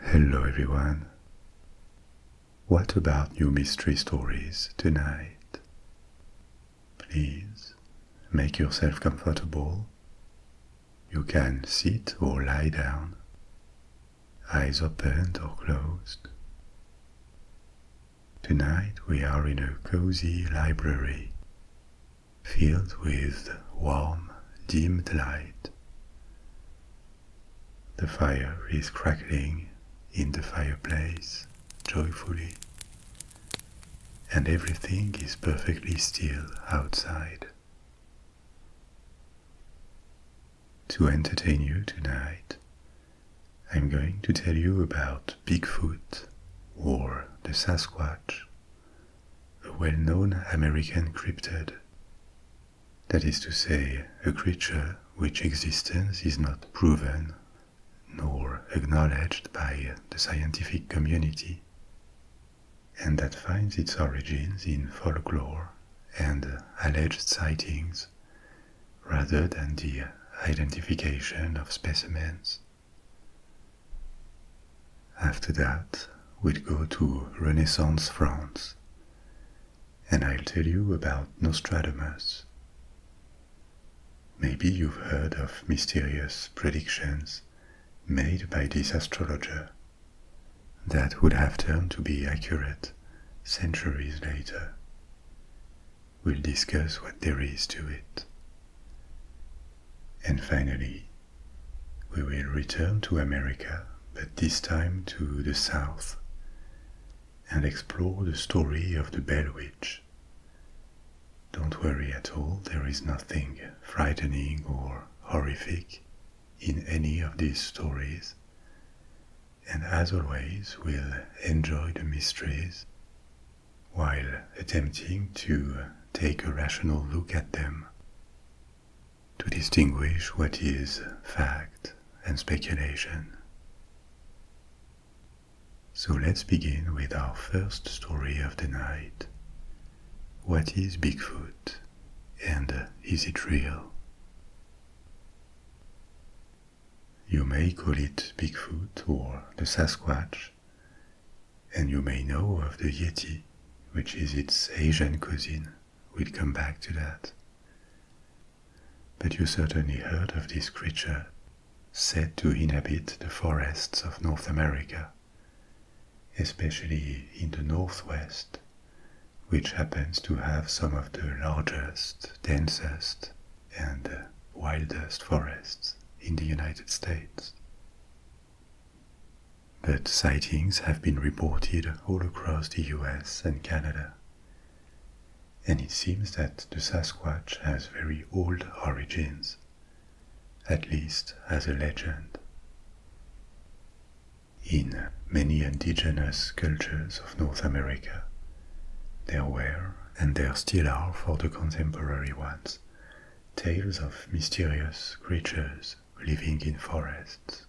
Hello, everyone. What about new mystery stories tonight? Please make yourself comfortable. You can sit or lie down, eyes opened or closed. Tonight we are in a cozy library filled with warm, dimmed light. The fire is crackling in the fireplace joyfully, and everything is perfectly still outside. To entertain you tonight, I'm going to tell you about Bigfoot or the Sasquatch a well known American cryptid. That is to say, a creature which existence is not proven nor acknowledged by the scientific community, and that finds its origins in folklore and alleged sightings rather than the identification of specimens. After that, we'll go to Renaissance France, and I'll tell you about Nostradamus. Maybe you've heard of mysterious predictions made by this astrologer that would have turned to be accurate centuries later. We'll discuss what there is to it. And finally, we will return to America, but this time to the south, and explore the story of the Bell Witch. Don't worry at all, there is nothing frightening or horrific in any of these stories. And as always, we'll enjoy the mysteries while attempting to take a rational look at them to distinguish what is fact and speculation. So let's begin with our first story of the night. What is Bigfoot and is it real? You may call it Bigfoot or the Sasquatch, and you may know of the Yeti, which is its Asian cousin. We'll come back to that. But you certainly heard of this creature, said to inhabit the forests of North America, especially in the northwest, which happens to have some of the largest, densest, and uh, wildest forests in the United States. But sightings have been reported all across the US and Canada. And it seems that the Sasquatch has very old origins, at least as a legend. In many indigenous cultures of North America, there were, and there still are for the contemporary ones, tales of mysterious creatures living in forests.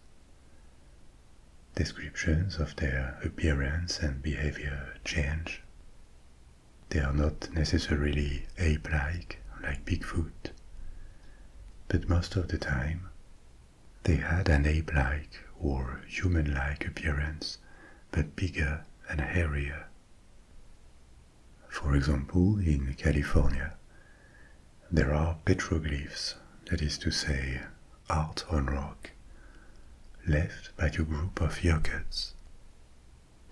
Descriptions of their appearance and behavior change. They are not necessarily ape-like, like Bigfoot, but most of the time they had an ape-like or human-like appearance, but bigger and hairier. For example, in California, there are petroglyphs, that is to say, art on rock, left by a group of Yokuts.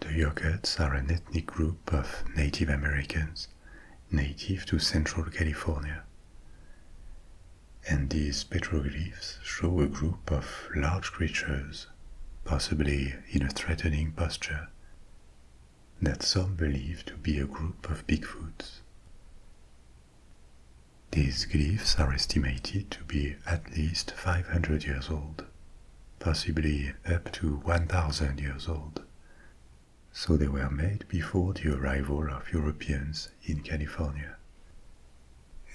The Yokuts are an ethnic group of Native Americans native to Central California. And these petroglyphs show a group of large creatures, possibly in a threatening posture, that some believe to be a group of Bigfoots. These glyphs are estimated to be at least 500 years old, possibly up to 1000 years old, so they were made before the arrival of Europeans in California.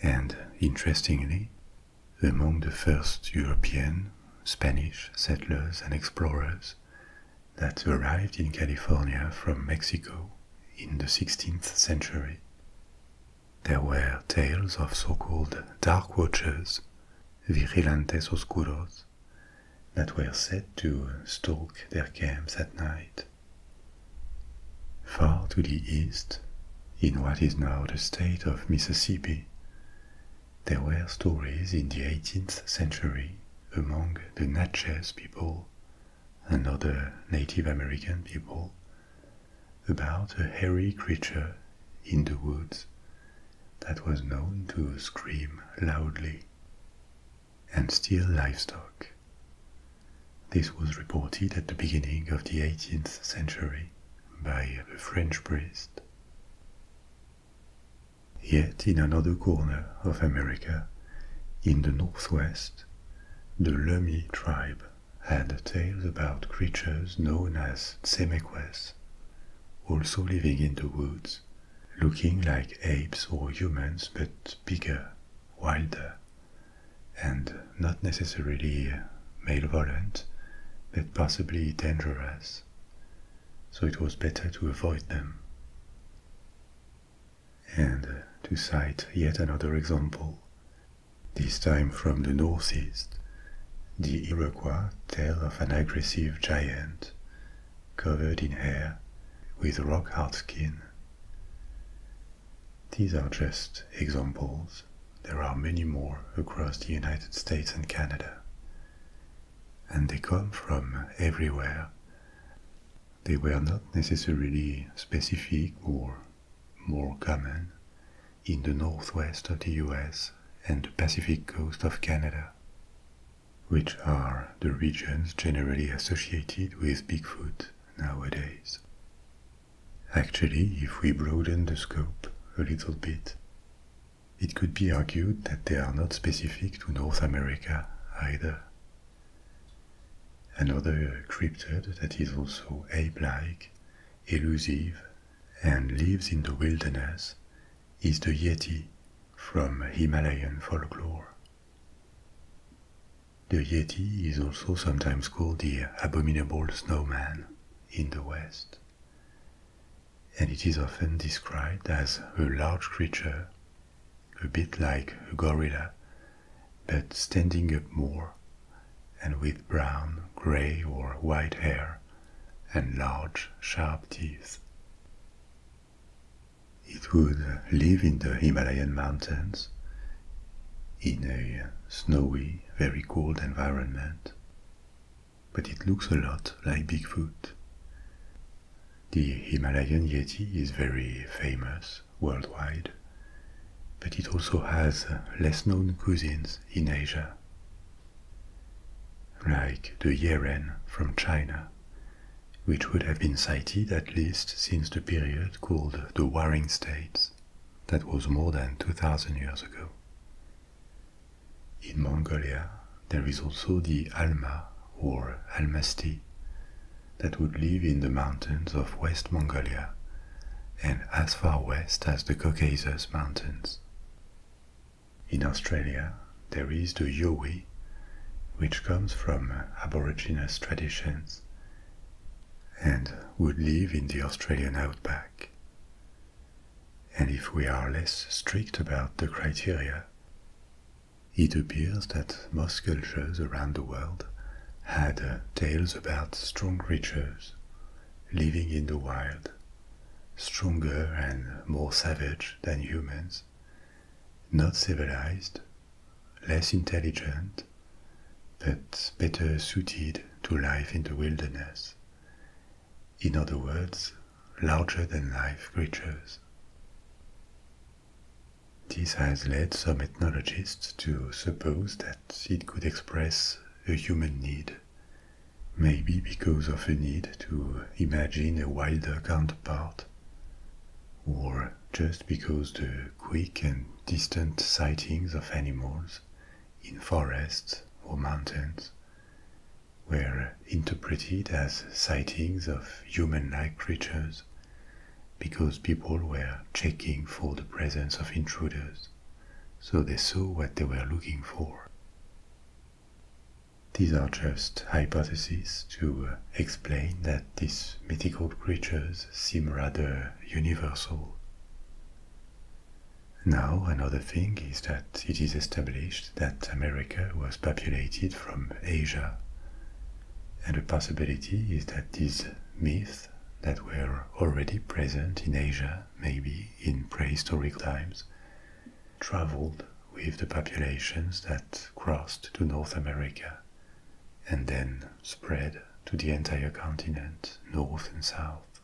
And interestingly, among the first European, Spanish settlers and explorers, that arrived in California from Mexico in the 16th century. There were tales of so called dark watchers, vigilantes oscuros, that were said to stalk their camps at night. Far to the east, in what is now the state of Mississippi, there were stories in the 18th century among the Natchez people and other Native American people about a hairy creature in the woods that was known to scream loudly and steal livestock. This was reported at the beginning of the 18th century by a French priest. Yet in another corner of America, in the northwest, the Lummi tribe had tales about creatures known as Tsemeques, also living in the woods, looking like apes or humans but bigger, wilder, and not necessarily malevolent, but possibly dangerous so it was better to avoid them. And to cite yet another example, this time from the northeast, the Iroquois tell of an aggressive giant covered in hair with rock hard skin. These are just examples. There are many more across the United States and Canada and they come from everywhere. They were not necessarily specific or more common in the northwest of the US and the Pacific coast of Canada, which are the regions generally associated with Bigfoot nowadays. Actually, if we broaden the scope a little bit, it could be argued that they are not specific to North America either. Another cryptid that is also ape-like, elusive, and lives in the wilderness is the Yeti from Himalayan folklore. The Yeti is also sometimes called the abominable snowman in the West and it is often described as a large creature, a bit like a gorilla, but standing up more, and with brown, grey, or white hair, and large, sharp teeth. It would live in the Himalayan mountains, in a snowy, very cold environment, but it looks a lot like Bigfoot. The Himalayan Yeti is very famous worldwide, but it also has uh, less known cousins in Asia, like the Yeren from China, which would have been cited at least since the period called the Warring States, that was more than 2000 years ago. In Mongolia, there is also the Alma or Almasti that would live in the mountains of West Mongolia and as far west as the Caucasus Mountains. In Australia, there is the Yowie, which comes from Aboriginous traditions and would live in the Australian outback. And if we are less strict about the criteria, it appears that most cultures around the world had uh, tales about strong creatures living in the wild, stronger and more savage than humans, not civilized, less intelligent, but better suited to life in the wilderness. In other words, larger than life creatures. This has led some ethnologists to suppose that it could express a human need, maybe because of a need to imagine a wilder counterpart, or just because the quick and distant sightings of animals in forests or mountains were interpreted as sightings of human-like creatures because people were checking for the presence of intruders, so they saw what they were looking for. These are just hypotheses to uh, explain that these mythical creatures seem rather universal. Now, another thing is that it is established that America was populated from Asia, and the possibility is that these myths that were already present in Asia, maybe in prehistoric times, traveled with the populations that crossed to North America and then spread to the entire continent, north and south.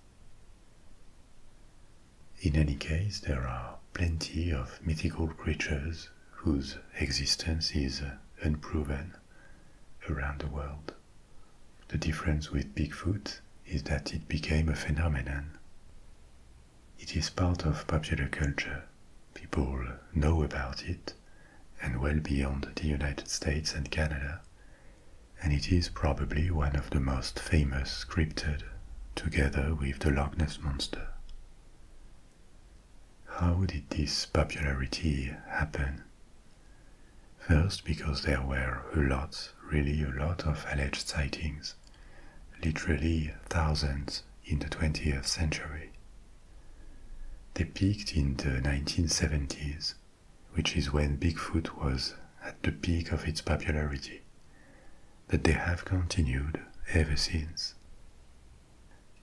In any case, there are plenty of mythical creatures whose existence is unproven around the world. The difference with Bigfoot is that it became a phenomenon. It is part of popular culture. People know about it, and well beyond the United States and Canada, and it is probably one of the most famous cryptid, together with the Loch Ness Monster. How did this popularity happen? First, because there were a lot, really a lot of alleged sightings, literally thousands in the 20th century. They peaked in the 1970s, which is when Bigfoot was at the peak of its popularity that they have continued ever since.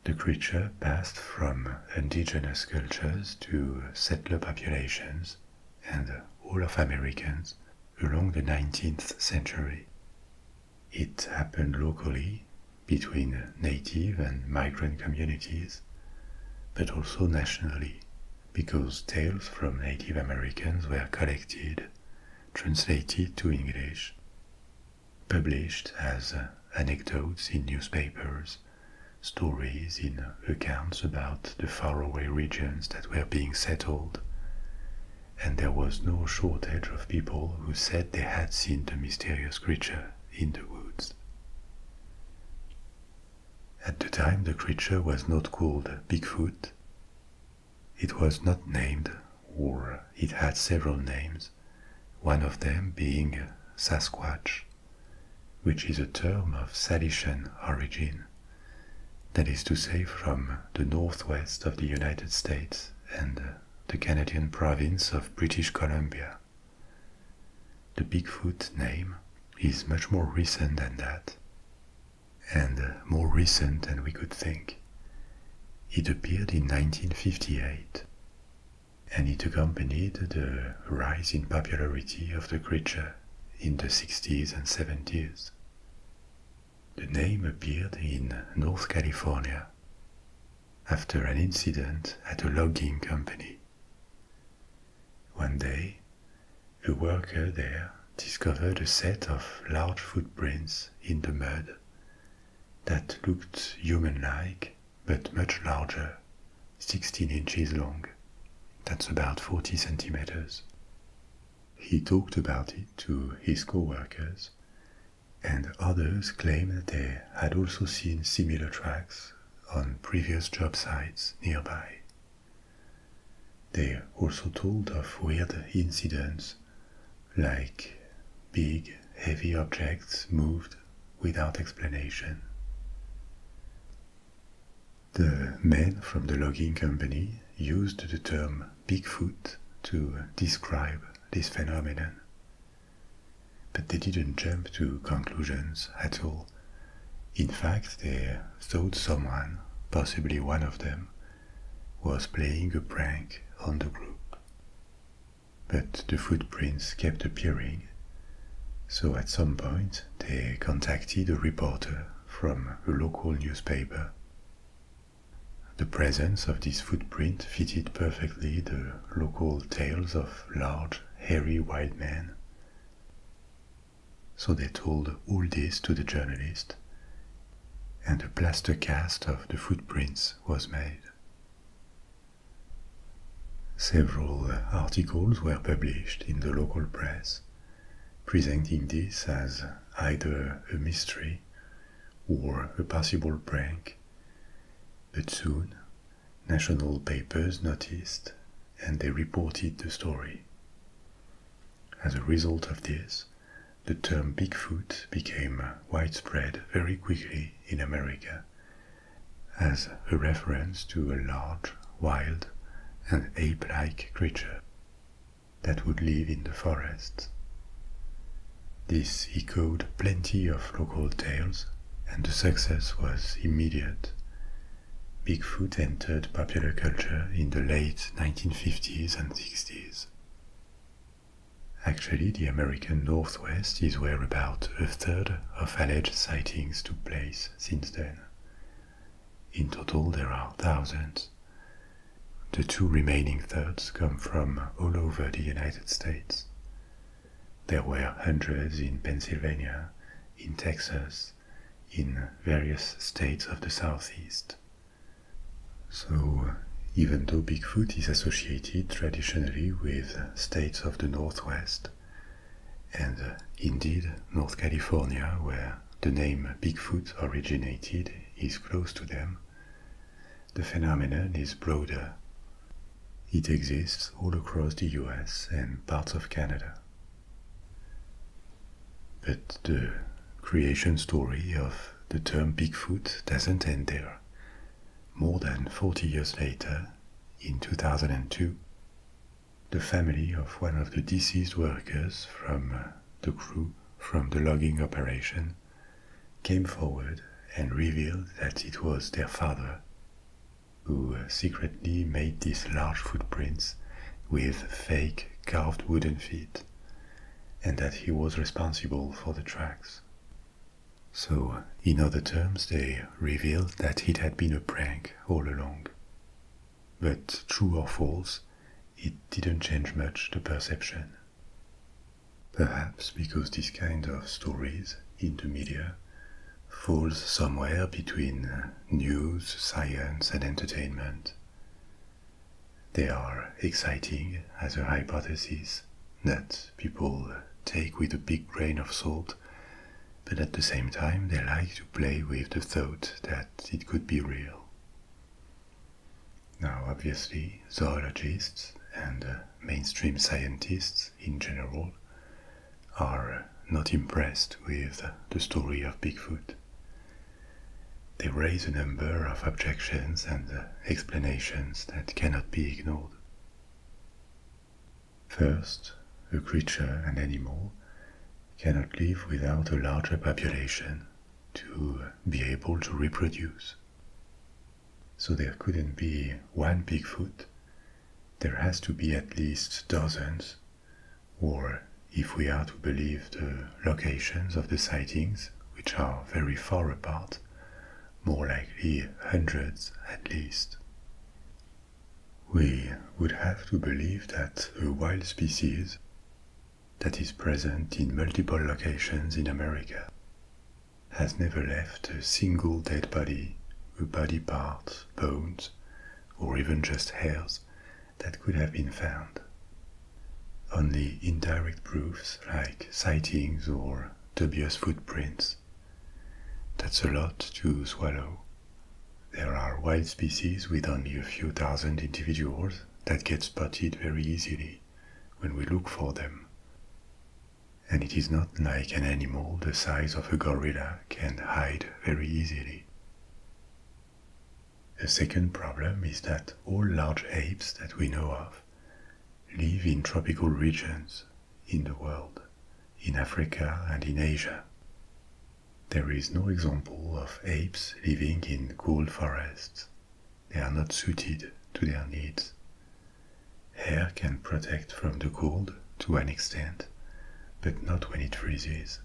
The creature passed from indigenous cultures to settler populations and all of Americans along the 19th century. It happened locally between native and migrant communities, but also nationally because tales from Native Americans were collected, translated to English, published as uh, anecdotes in newspapers, stories in accounts about the faraway regions that were being settled. And there was no shortage of people who said they had seen the mysterious creature in the woods. At the time, the creature was not called Bigfoot, it was not named, or it had several names, one of them being Sasquatch, which is a term of Salishan origin, that is to say, from the northwest of the United States and the Canadian province of British Columbia. The Bigfoot name is much more recent than that, and more recent than we could think. It appeared in 1958, and it accompanied the rise in popularity of the creature in the 60s and 70s. The name appeared in North California after an incident at a logging company. One day, a worker there discovered a set of large footprints in the mud that looked human-like but much larger, 16 inches long. That's about 40 centimeters. He talked about it to his coworkers, and others claimed they had also seen similar tracks on previous job sites nearby. They also told of weird incidents like big, heavy objects moved without explanation. The men from the logging company used the term Bigfoot to describe this phenomenon. But they didn't jump to conclusions at all. In fact, they thought someone, possibly one of them, was playing a prank on the group. But the footprints kept appearing, so at some point they contacted a reporter from a local newspaper. The presence of this footprint fitted perfectly the local tales of large, hairy white men. So they told all this to the journalist, and a plaster cast of the footprints was made. Several articles were published in the local press, presenting this as either a mystery or a possible prank, but soon national papers noticed and they reported the story. As a result of this, the term Bigfoot became widespread very quickly in America as a reference to a large, wild, and ape like creature that would live in the forests. This echoed plenty of local tales, and the success was immediate. Bigfoot entered popular culture in the late 1950s and 60s. Actually, the American Northwest is where about a third of alleged sightings took place since then. In total, there are thousands. The two remaining thirds come from all over the United States. There were hundreds in Pennsylvania, in Texas, in various states of the Southeast, so, uh, even though Bigfoot is associated traditionally with states of the Northwest, and uh, indeed North California, where the name Bigfoot originated, is close to them, the phenomenon is broader. It exists all across the US and parts of Canada. But the creation story of the term Bigfoot doesn't end there more than 40 years later, in 2002, the family of one of the deceased workers from uh, the crew from the logging operation came forward and revealed that it was their father who uh, secretly made these large footprints with fake carved wooden feet and that he was responsible for the tracks. So, in other terms, they revealed that it had been a prank all along. But true or false, it didn't change much the perception. Perhaps because this kind of stories in the media falls somewhere between news, science, and entertainment. They are exciting as a hypothesis that people take with a big grain of salt, but at the same time they like to play with the thought that it could be real. Now, obviously, zoologists and uh, mainstream scientists in general are not impressed with the story of Bigfoot. They raise a number of objections and uh, explanations that cannot be ignored. First, a creature, an animal, cannot live without a larger population to be able to reproduce. So there couldn't be one Bigfoot. There has to be at least dozens, or if we are to believe the locations of the sightings, which are very far apart, more likely hundreds at least. We would have to believe that a wild species that is present in multiple locations in America has never left a single dead body, a body part, bones, or even just hairs that could have been found. Only indirect proofs like sightings or their footprints. That's a lot to swallow. There are wild species with only a few thousand individuals that get spotted very easily when we look for them. And it is not like an animal the size of a gorilla can hide very easily. The second problem is that all large apes that we know of live in tropical regions in the world, in Africa and in Asia. There is no example of apes living in cold forests. They are not suited to their needs. Hair can protect from the cold to an extent, but not when it freezes.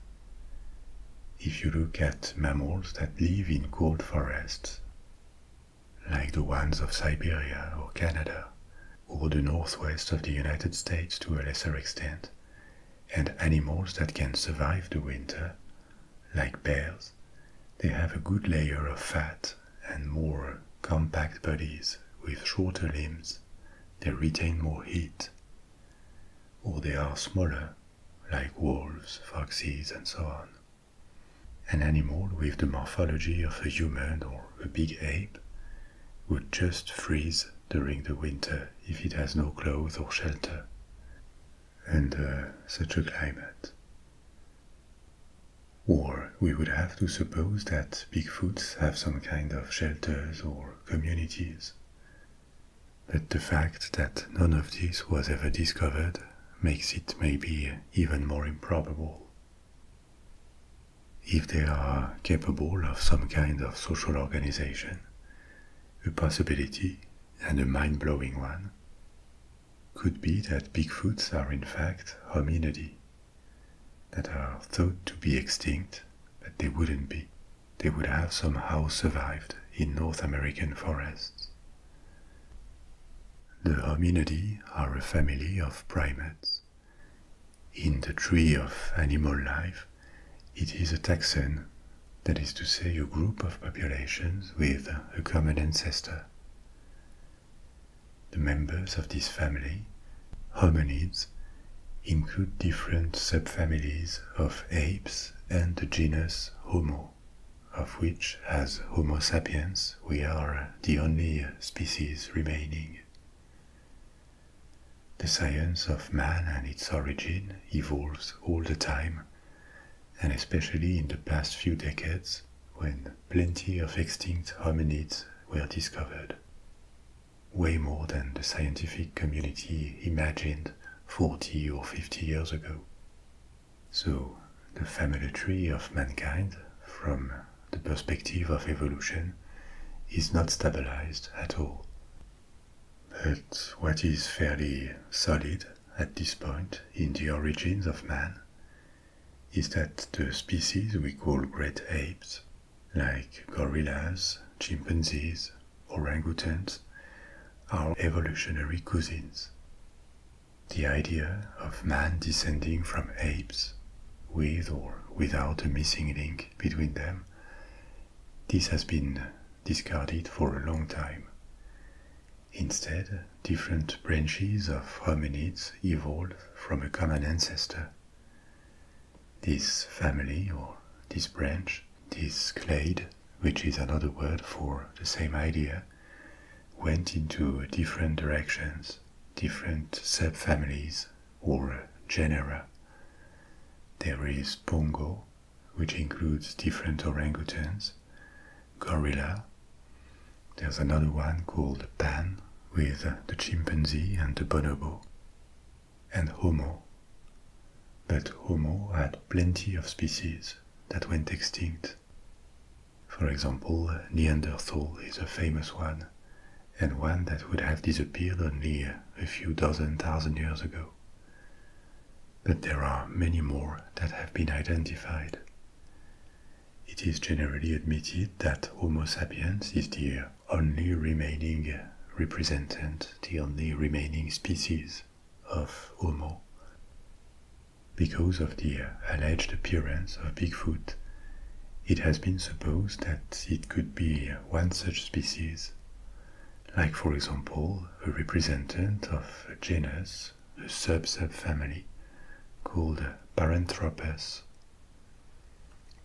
If you look at mammals that live in cold forests, like the ones of Siberia or Canada, or the northwest of the United States to a lesser extent, and animals that can survive the winter, like bears, they have a good layer of fat and more compact bodies with shorter limbs. They retain more heat. Or they are smaller, like wolves, foxes, and so on. An animal with the morphology of a human or a big ape would just freeze during the winter if it has no clothes or shelter and such a climate. Or we would have to suppose that Bigfoots have some kind of shelters or communities. But the fact that none of this was ever discovered makes it maybe even more improbable. If they are capable of some kind of social organization, a possibility, and a mind blowing one, could be that Bigfoots are in fact hominidae that are thought to be extinct, but they wouldn't be. They would have somehow survived in North American forests the Hominidae are a family of primates. In the tree of animal life, it is a taxon, that is to say, a group of populations with a common ancestor. The members of this family, hominids, include different subfamilies of apes and the genus Homo of which, as Homo sapiens, we are the only species remaining. The science of man and its origin evolves all the time, and especially in the past few decades when plenty of extinct hominids were discovered. Way more than the scientific community imagined 40 or 50 years ago. So, the family tree of mankind, from the perspective of evolution, is not stabilized at all. But what is fairly solid at this point in the origins of man is that the species we call great apes, like gorillas, chimpanzees, orangutans, are evolutionary cousins. The idea of man descending from apes, with or without a missing link between them, this has been discarded for a long time. Instead, different branches of hominids evolved from a common ancestor. This family or this branch, this clade, which is another word for the same idea, went into different directions, different subfamilies or genera. There is Pongo, which includes different orangutans, gorilla. There's another one called Pan with the chimpanzee and the bonobo, and Homo. But Homo had plenty of species that went extinct for example, Neanderthal is a famous one, and one that would have disappeared only a few dozen thousand years ago. But there are many more that have been identified. It is generally admitted that Homo sapiens is the only remaining representative, the only remaining species of Homo. Because of the alleged appearance of Bigfoot, it has been supposed that it could be one such species, like, for example, a representative of a genus, a sub subfamily, called Paranthropus.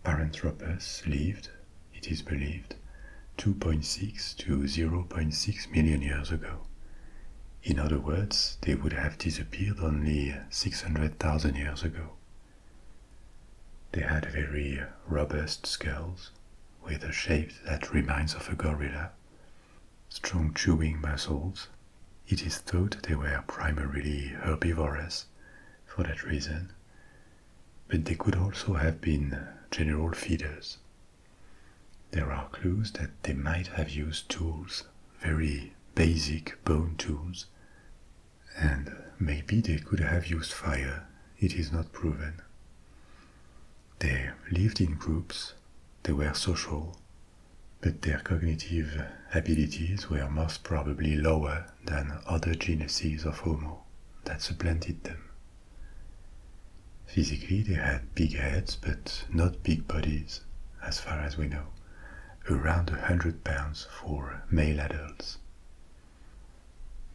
Paranthropus lived, it is believed, 2.6 to 0.6 million years ago in other words, they would have disappeared only 600,000 years ago. They had very robust skulls, with a shape that reminds of a gorilla, strong chewing muscles. It is thought they were primarily herbivorous for that reason, but they could also have been general feeders. There are clues that they might have used tools very basic bone tools, and maybe they could have used fire, it is not proven. They lived in groups, they were social, but their cognitive abilities were most probably lower than other genuses of Homo that supplanted them. Physically, they had big heads but not big bodies, as far as we know around a £100 for male adults.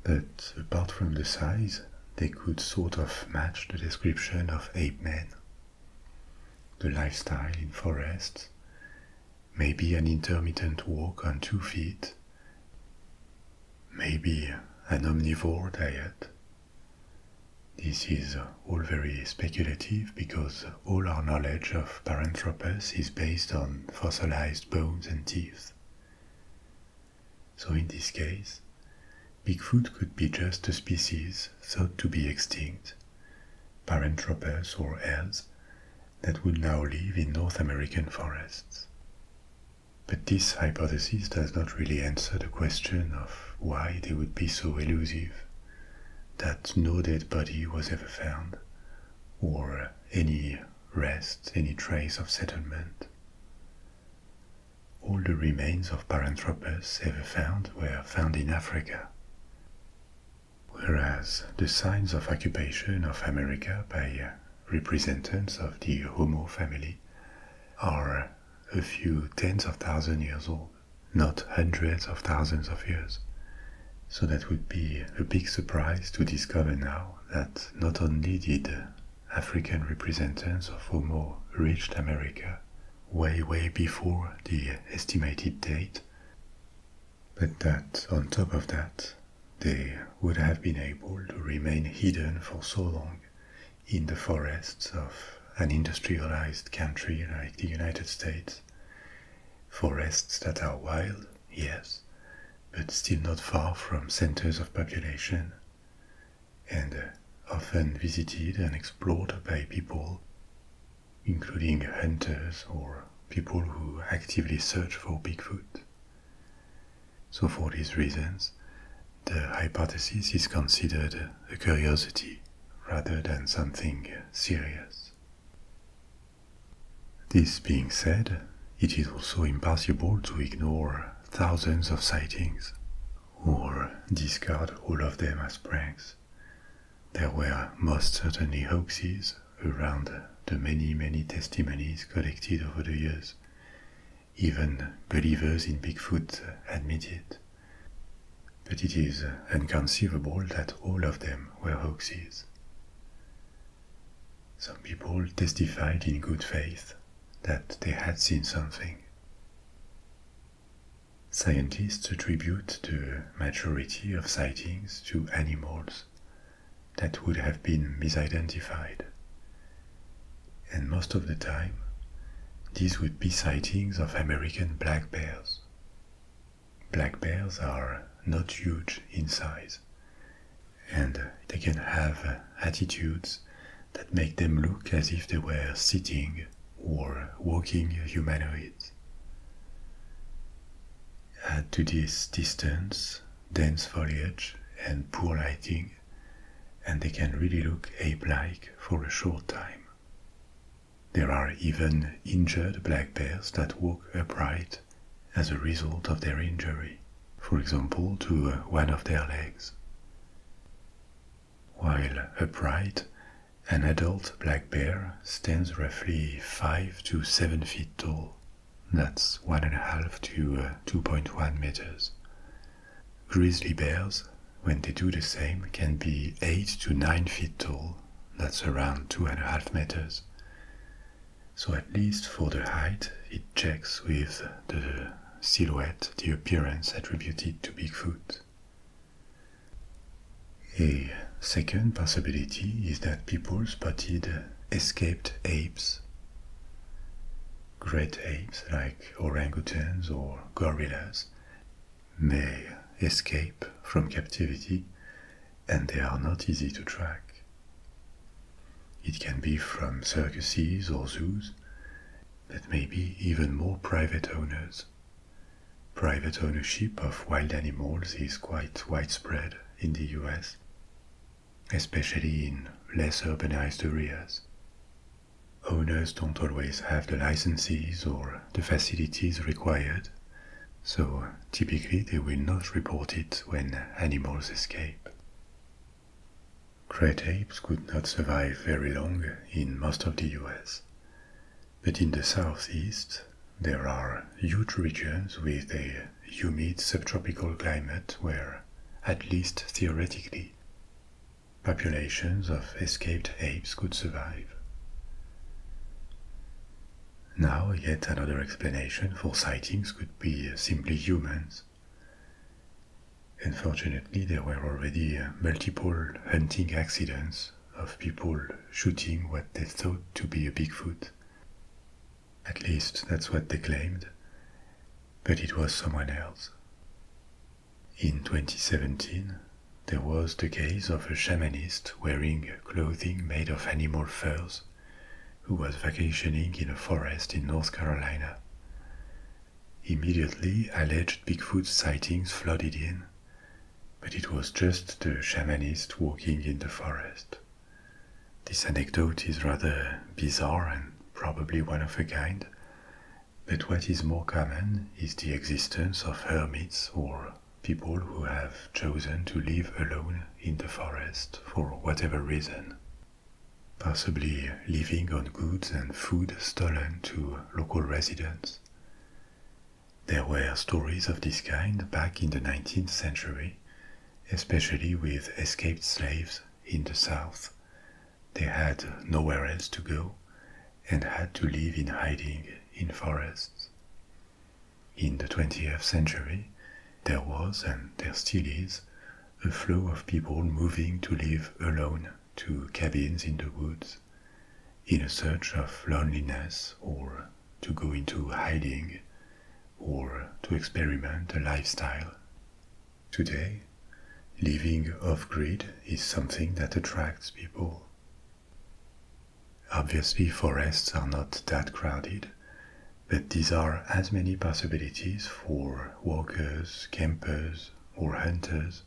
But apart from the size, they could sort of match the description of ape men. The lifestyle in forests, maybe an intermittent walk on two feet, maybe an omnivore diet, this is all very speculative because all our knowledge of Paranthropus is based on fossilized bones and teeth. So in this case, Bigfoot could be just a species thought to be extinct, Paranthropus or else, that would now live in North American forests. But this hypothesis does not really answer the question of why they would be so elusive that no dead body was ever found, or any rest, any trace of settlement. All the remains of Paranthropus ever found were found in Africa, whereas the signs of occupation of America by representatives of the Homo family are a few tens of thousand years old not hundreds of thousands of years. So that would be a big surprise to discover now that not only did African representatives of Homo reached America way, way before the estimated date, but that on top of that, they would have been able to remain hidden for so long in the forests of an industrialized country like the United States Forests that are wild, yes, but still not far from centers of population, and uh, often visited and explored by people, including hunters or people who actively search for Bigfoot. So, for these reasons, the hypothesis is considered a curiosity rather than something uh, serious. This being said, it is also impossible to ignore thousands of sightings or discard all of them as pranks. There were most certainly hoaxes around the many, many testimonies collected over the years. Even believers in Bigfoot admit it. But it is inconceivable that all of them were hoaxes. Some people testified in good faith that they had seen something. Scientists attribute the majority of sightings to animals that would have been misidentified. And most of the time, these would be sightings of American black bears. Black bears are not huge in size, and they can have uh, attitudes that make them look as if they were sitting or walking humanoid. Add to this distance, dense foliage, and poor lighting, and they can really look ape like for a short time. There are even injured black bears that walk upright as a result of their injury, for example, to uh, one of their legs. While upright, an adult black bear stands roughly 5 to 7 feet tall. That's 1.5 to uh, 2.1 meters. Grizzly bears when they do the same, can be 8 to 9 feet tall. That's around 2.5 meters. So, at least for the height, it checks with the silhouette, the appearance attributed to Bigfoot. A second possibility is that people spotted escaped apes, great apes like orangutans or gorillas may escape from captivity and they are not easy to track. It can be from circuses or zoos, but be even more private owners. Private ownership of wild animals is quite widespread in the US, especially in less urbanized areas. Owners don't always have the licenses or the facilities required so typically they will not report it when animals escape. Great apes could not survive very long in most of the US, but in the southeast there are huge regions with a humid subtropical climate where, at least theoretically, populations of escaped apes could survive. Now, yet another explanation for sightings could be uh, simply humans. Unfortunately, there were already uh, multiple hunting accidents of people shooting what they thought to be a Bigfoot. At least that's what they claimed, but it was someone else. In 2017, there was the case of a shamanist wearing clothing made of animal furs who was vacationing in a forest in North Carolina. Immediately, alleged Bigfoot sightings flooded in, but it was just the shamanist walking in the forest. This anecdote is rather bizarre and probably one of a kind, but what is more common is the existence of hermits or people who have chosen to live alone in the forest for whatever reason, possibly living on goods and food stolen to local residents. There were stories of this kind back in the 19th century, especially with escaped slaves in the south. They had nowhere else to go and had to live in hiding in forests. In the 20th century, there was, and there still is, a flow of people moving to live alone to cabins in the woods in a search of loneliness or to go into hiding or to experiment a lifestyle. Today, living off grid is something that attracts people. Obviously, forests are not that crowded, but these are as many possibilities for walkers, campers, or hunters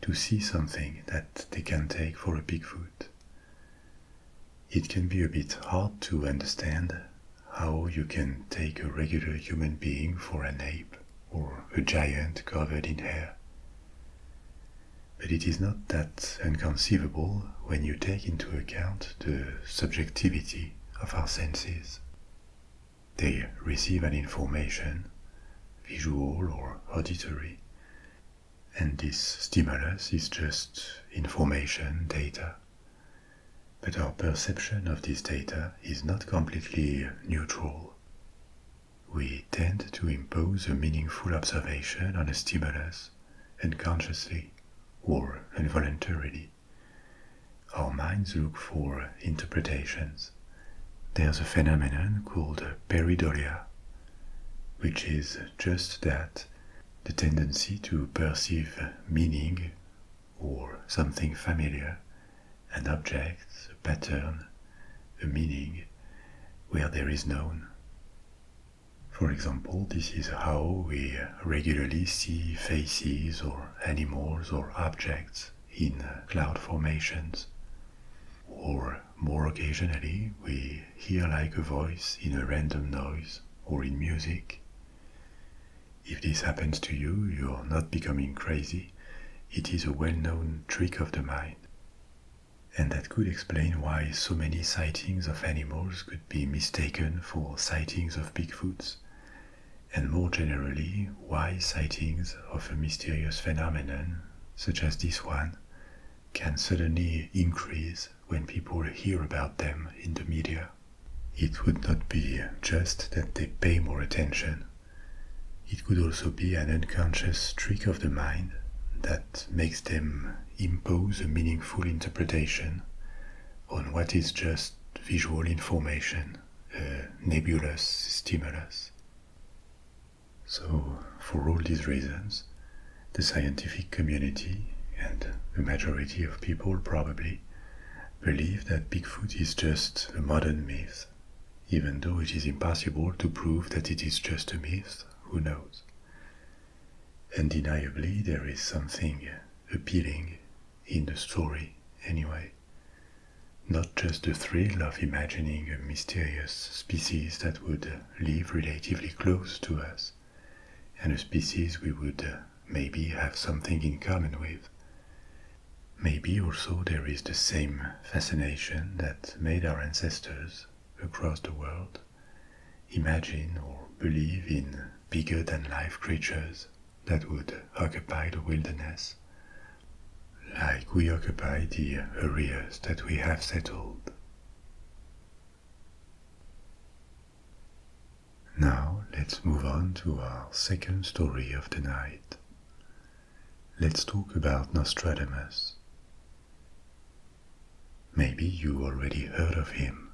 to see something that they can take for a Bigfoot. It can be a bit hard to understand how you can take a regular human being for an ape or a giant covered in hair. But it is not that unconceivable when you take into account the subjectivity of our senses. They receive an information, visual or auditory, and this stimulus is just information data. But our perception of this data is not completely neutral we tend to impose a meaningful observation on a stimulus unconsciously or involuntarily. Our minds look for interpretations. There's a phenomenon called a peridolia, which is just that the tendency to perceive meaning or something familiar, an object, a pattern, a meaning where there is none. For example, this is how we regularly see faces or animals or objects in cloud formations. Or more occasionally, we hear like a voice in a random noise or in music. If this happens to you, you're not becoming crazy. It is a well known trick of the mind and that could explain why so many sightings of animals could be mistaken for sightings of Bigfoots, and more generally, why sightings of a mysterious phenomenon, such as this one, can suddenly increase when people hear about them in the media. It would not be just that they pay more attention. It could also be an unconscious trick of the mind that makes them impose a meaningful interpretation on what is just visual information, nebulous stimulus. So, for all these reasons, the scientific community and the majority of people probably believe that Bigfoot is just a modern myth, even though it is impossible to prove that it is just a myth, who knows? Undeniably, there is something appealing in the story, anyway. Not just the thrill of imagining a mysterious species that would live relatively close to us, and a species we would maybe have something in common with. Maybe also there is the same fascination that made our ancestors across the world imagine or believe in bigger than life creatures that would occupy the wilderness, like we occupy the areas that we have settled. Now let's move on to our second story of the night. Let's talk about Nostradamus. Maybe you already heard of him.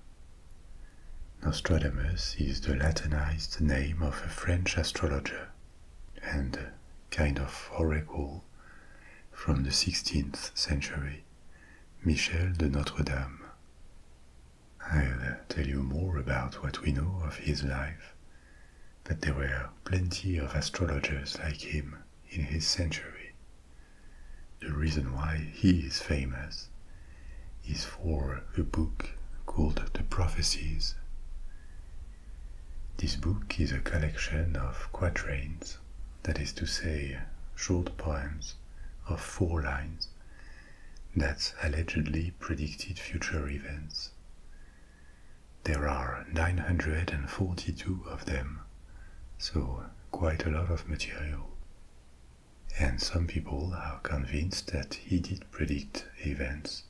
Nostradamus is the Latinized name of a French astrologer and kind of oracle from the 16th century, Michel de Notre Dame. I'll tell you more about what we know of his life, but there were plenty of astrologers like him in his century. The reason why he is famous is for a book called The Prophecies. This book is a collection of quatrains, that is to say, short poems of four lines that allegedly predicted future events. There are 942 of them so quite a lot of material. And some people are convinced that he did predict events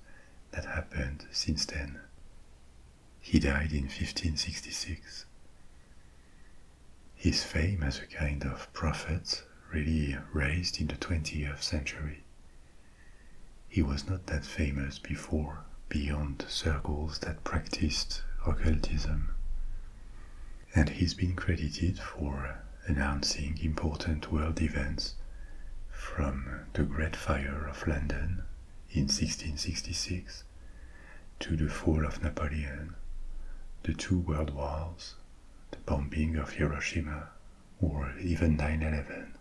that happened since then. He died in 1566. His fame as a kind of prophet really raised in the 20th century. He was not that famous before far beyond circles that practiced occultism. And he's been credited for announcing important world events from the Great Fire of London in 1666 to the fall of Napoleon, the two world wars, the bombing of Hiroshima, or even 9 11.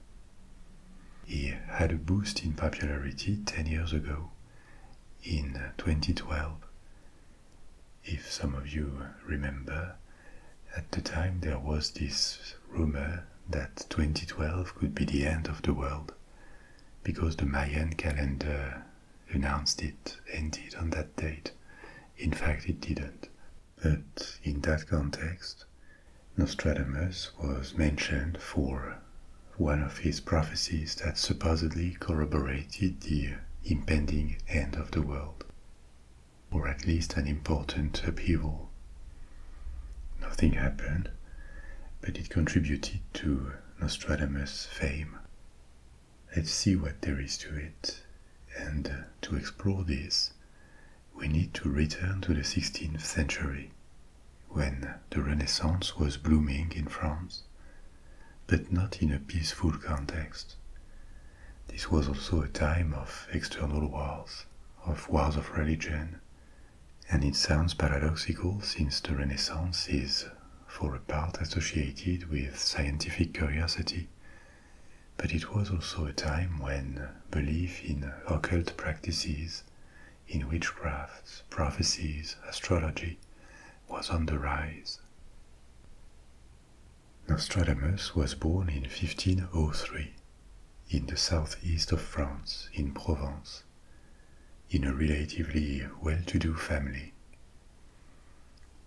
He had a boost in popularity 10 years ago in 2012. If some of you remember, at the time there was this rumor that 2012 could be the end of the world because the Mayan calendar announced it ended on that date. In fact, it didn't. But in that context, Nostradamus was mentioned for one of his prophecies that supposedly corroborated the impending end of the world, or at least an important upheaval. Nothing happened, but it contributed to Nostradamus' fame. Let's see what there is to it, and uh, to explore this, we need to return to the 16th century when the Renaissance was blooming in France, but not in a peaceful context. This was also a time of external wars, of wars of religion, and it sounds paradoxical since the Renaissance is, for a part, associated with scientific curiosity, but it was also a time when belief in occult practices in witchcraft, prophecies, astrology, was on the rise. Nostradamus was born in 1503 in the southeast of France, in Provence, in a relatively well-to-do family.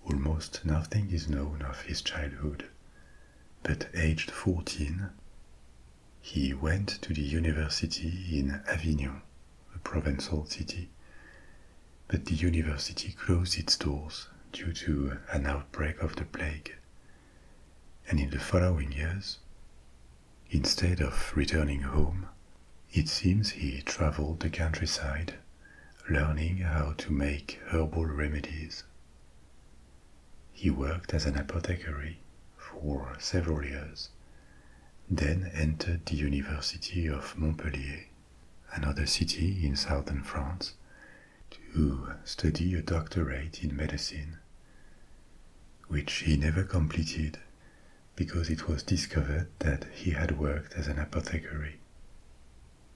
Almost nothing is known of his childhood, but aged 14, he went to the university in Avignon a provincial city, but the university closed its doors due to an outbreak of the plague. And in the following years, instead of returning home, it seems he traveled the countryside, learning how to make herbal remedies. He worked as an apothecary for several years then entered the University of Montpellier, another city in southern France, to study a doctorate in medicine, which he never completed because it was discovered that he had worked as an apothecary.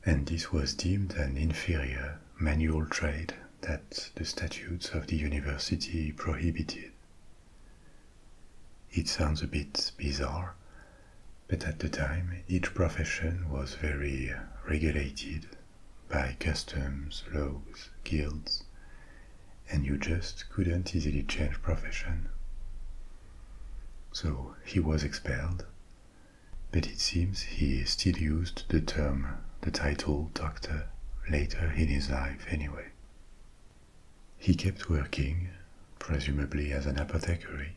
And this was deemed an inferior manual trade that the statutes of the university prohibited. It sounds a bit bizarre, but at the time each profession was very regulated by customs, laws, guilds, and you just couldn't easily change profession. So he was expelled, but it seems he still used the term, the title doctor, later in his life anyway. He kept working, presumably as an apothecary,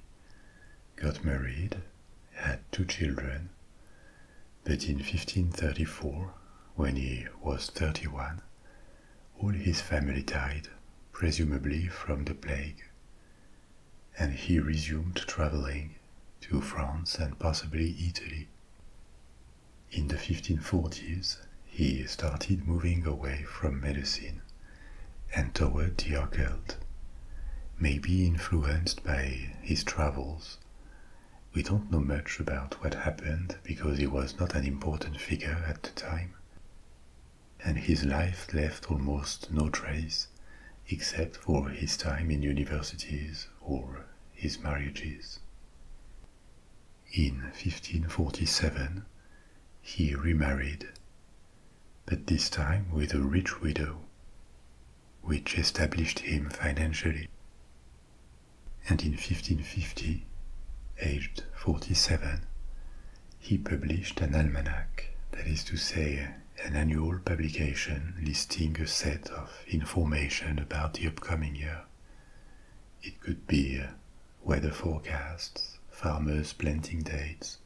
got married, had two children, but in 1534, when he was 31, all his family died, presumably from the plague, and he resumed traveling to France and possibly Italy. In the 1540s, he started moving away from medicine and toward the occult, maybe influenced by his travels. We don't know much about what happened because he was not an important figure at the time, and his life left almost no trace except for his time in universities or his marriages. In 1547, he remarried, but this time with a rich widow, which established him financially. And in 1550, aged 47, he published an almanac, that is to say, an annual publication listing a set of information about the upcoming year. It could be uh, weather forecasts, farmers' planting dates,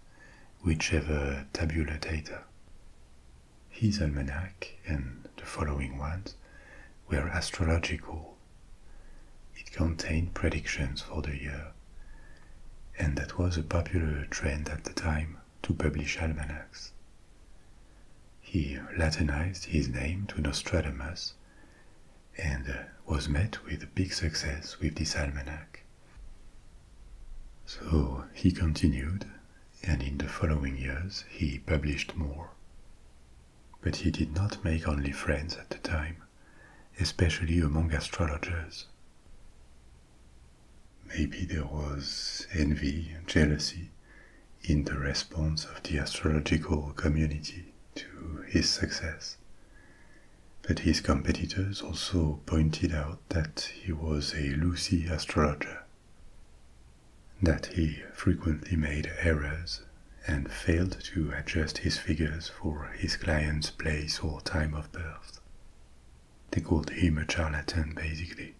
whichever tabular data. His almanac and the following ones were astrological. It contained predictions for the year, and that was a popular trend at the time to publish almanacs. He Latinized his name to Nostradamus and uh, was met with big success with this almanac. So he continued, and in the following years he published more. But he did not make only friends at the time, especially among astrologers. Maybe there was envy, jealousy in the response of the astrological community to his success. But his competitors also pointed out that he was a loosey astrologer, that he frequently made errors and failed to adjust his figures for his client's place or time of birth. They called him a charlatan, basically.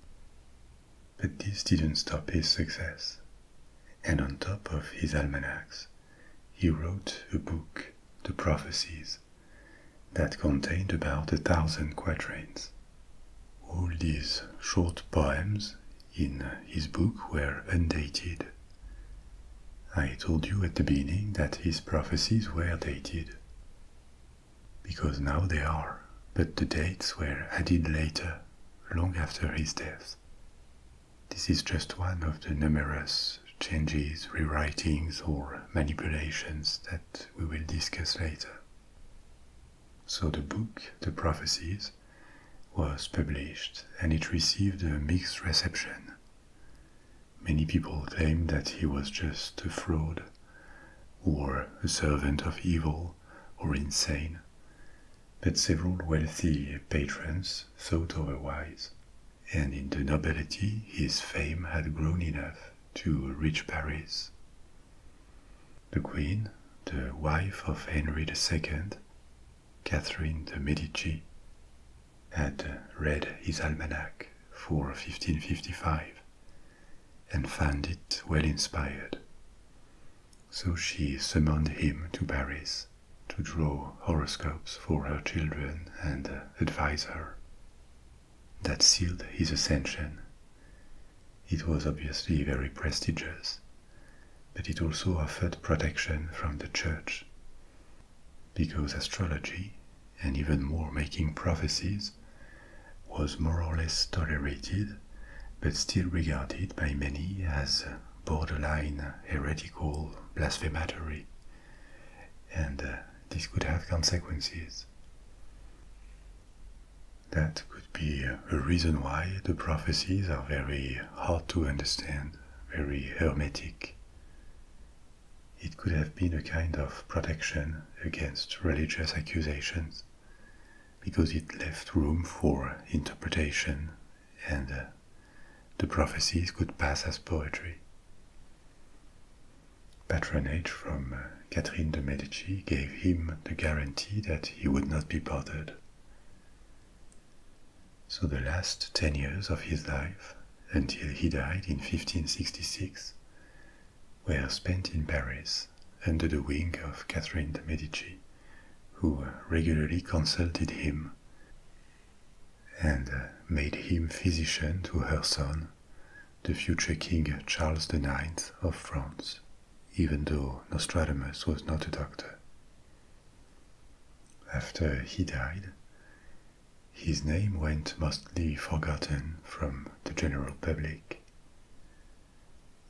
But this didn't stop his success. And on top of his almanacs, he wrote a book, The Prophecies, that contained about a thousand quatrains. All these short poems in his book were undated. I told you at the beginning that his prophecies were dated, because now they are, but the dates were added later, long after his death. This is just one of the numerous changes, rewritings, or manipulations that we will discuss later. So the book, The Prophecies, was published and it received a mixed reception. Many people claimed that he was just a fraud, or a servant of evil, or insane, but several wealthy patrons thought otherwise. And in the nobility, his fame had grown enough to reach Paris. The queen, the wife of Henry II, Catherine de' Medici, had read his almanac for 1555 and found it well inspired. So she summoned him to Paris to draw horoscopes for her children and uh, advise her. That sealed his ascension. It was obviously very prestigious, but it also offered protection from the church. Because astrology, and even more making prophecies, was more or less tolerated, but still regarded by many as uh, borderline uh, heretical blasphematory, and uh, this could have consequences. That could be uh, a reason why the prophecies are very hard to understand, very hermetic. It could have been a kind of protection against religious accusations, because it left room for interpretation and uh, the prophecies could pass as poetry. Patronage from uh, Catherine de' Medici gave him the guarantee that he would not be bothered. So the last ten years of his life, until he died in 1566, were spent in Paris under the wing of Catherine de' Medici, who uh, regularly consulted him and uh, made him physician to her son, the future King Charles IX of France, even though Nostradamus was not a doctor. After he died, his name went mostly forgotten from the general public.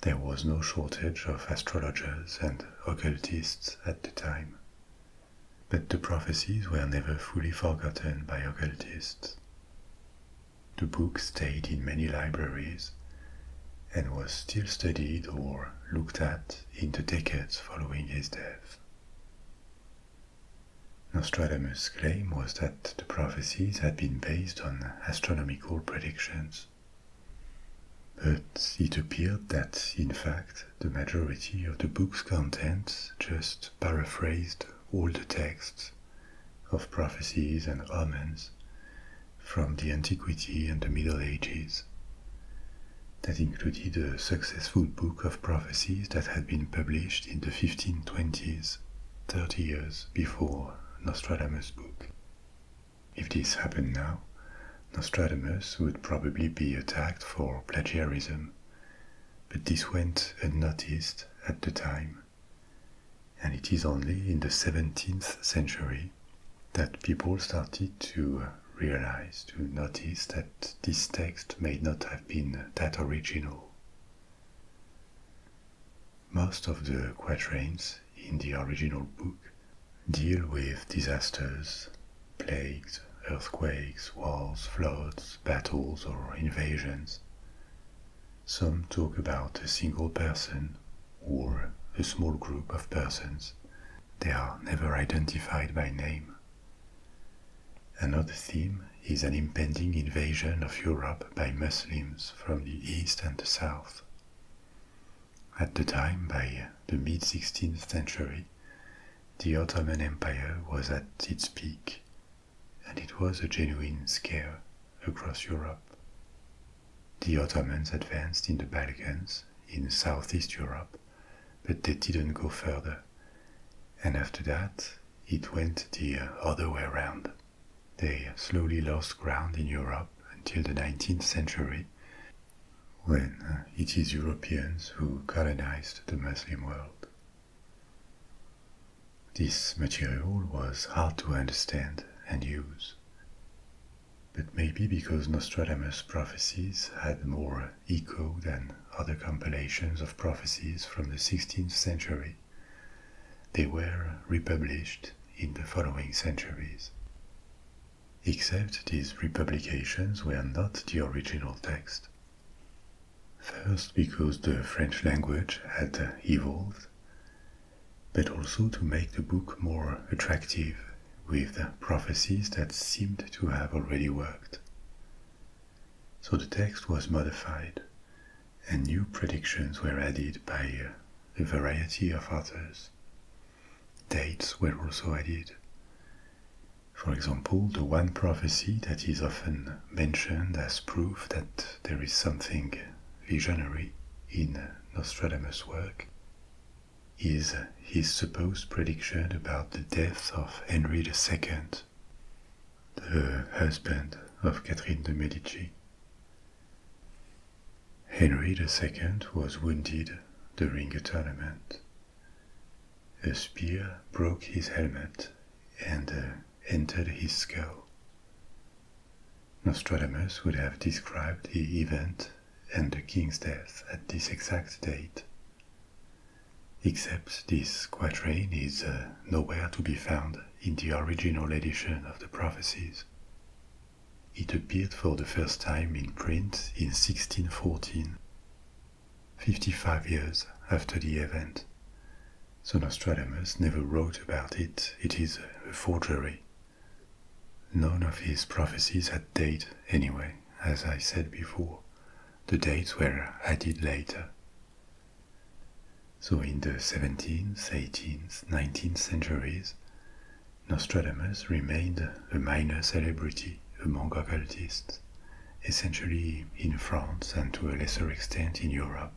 There was no shortage of astrologers and occultists at the time, but the prophecies were never fully forgotten by occultists. The book stayed in many libraries and was still studied or looked at in the decades following his death. Nostradamus' claim was that the prophecies had been based on astronomical predictions but it appeared that, in fact, the majority of the book's content just paraphrased all the texts of prophecies and omens from the Antiquity and the Middle Ages. That included a successful book of prophecies that had been published in the 1520s, 30 years before Nostradamus' book. If this happened now, Nostradamus would probably be attacked for plagiarism, but this went unnoticed at the time. And it is only in the 17th century that people started to realize, to notice that this text may not have been that original. Most of the quatrains in the original book deal with disasters plagues, earthquakes, wars, floods, battles, or invasions. Some talk about a single person or a small group of persons. They are never identified by name. Another theme is an impending invasion of Europe by Muslims from the east and the south. At the time, by the mid 16th century, the Ottoman Empire was at its peak, and it was a genuine scare across Europe. The Ottomans advanced in the Balkans, in Southeast Europe, but they didn't go further. And after that, it went the other way around. They slowly lost ground in Europe until the 19th century when uh, it is Europeans who colonized the Muslim world. This material was hard to understand and use, but maybe because Nostradamus' prophecies had more echo than other compilations of prophecies from the 16th century, they were republished in the following centuries except these republications were not the original text. First, because the French language had evolved, but also to make the book more attractive with the prophecies that seemed to have already worked. So the text was modified, and new predictions were added by a variety of authors. Dates were also added. For example, the one prophecy that is often mentioned as proof that there is something visionary in Nostradamus' work is his supposed prediction about the death of Henry II, the husband of Catherine de' Medici. Henry II was wounded during a tournament a spear broke his helmet and uh, entered his skull. Nostradamus would have described the event and the king's death at this exact date. Except this quatrain is uh, nowhere to be found in the original edition of the prophecies. It appeared for the first time in print in 1614 55 years after the event. So Nostradamus never wrote about it, it is a forgery. None of his prophecies had date anyway, as I said before. The dates were added later. So in the 17th, 18th, 19th centuries, Nostradamus remained a minor celebrity among occultists, essentially in France and to a lesser extent in Europe.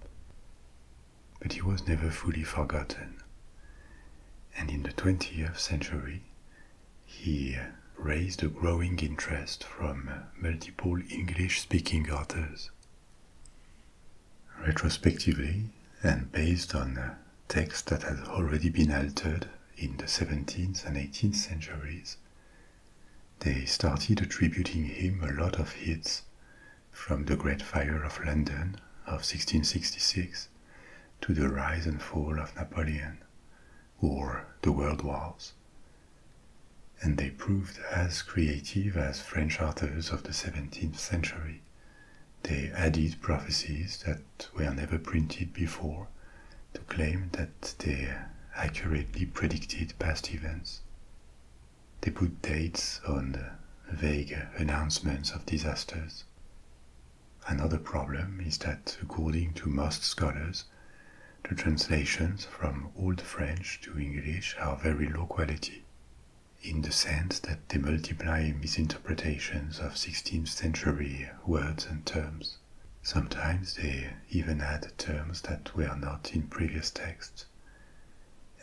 But he was never fully forgotten. And in the 20th century, he raised a growing interest from multiple English speaking authors. Retrospectively, and based on text that had already been altered in the 17th and 18th centuries, they started attributing him a lot of hits from the Great Fire of London of 1666 to the rise and fall of Napoleon or the World Wars. And they proved as creative as French authors of the 17th century. They added prophecies that were never printed before to claim that they accurately predicted past events. They put dates on the vague announcements of disasters. Another problem is that, according to most scholars, the translations from Old French to English are very low quality, in the sense that they multiply misinterpretations of 16th century words and terms. Sometimes they even add terms that were not in previous texts.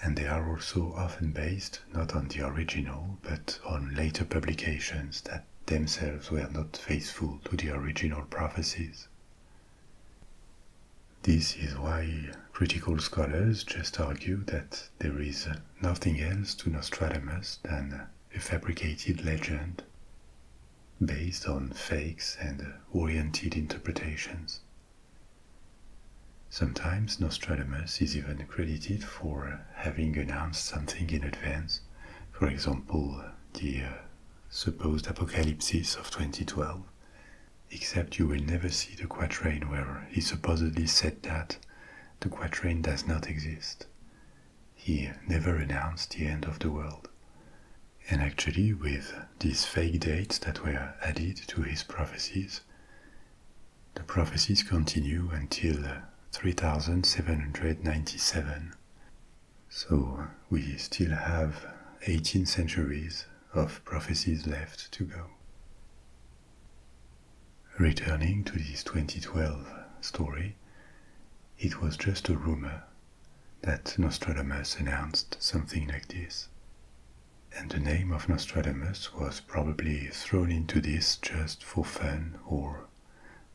And they are also often based not on the original, but on later publications that themselves were not faithful to the original prophecies. This is why critical scholars just argue that there is nothing else to Nostradamus than a fabricated legend based on fakes and oriented interpretations. Sometimes Nostradamus is even credited for having announced something in advance, for example, the uh, supposed apocalypse of 2012, except you will never see the quatrain where he supposedly said that the quatrain does not exist. He never announced the end of the world. And actually, with these fake dates that were added to his prophecies, the prophecies continue until uh, 3797. So we still have 18 centuries of prophecies left to go. Returning to this 2012 story, it was just a rumor that Nostradamus announced something like this. And the name of Nostradamus was probably thrown into this just for fun or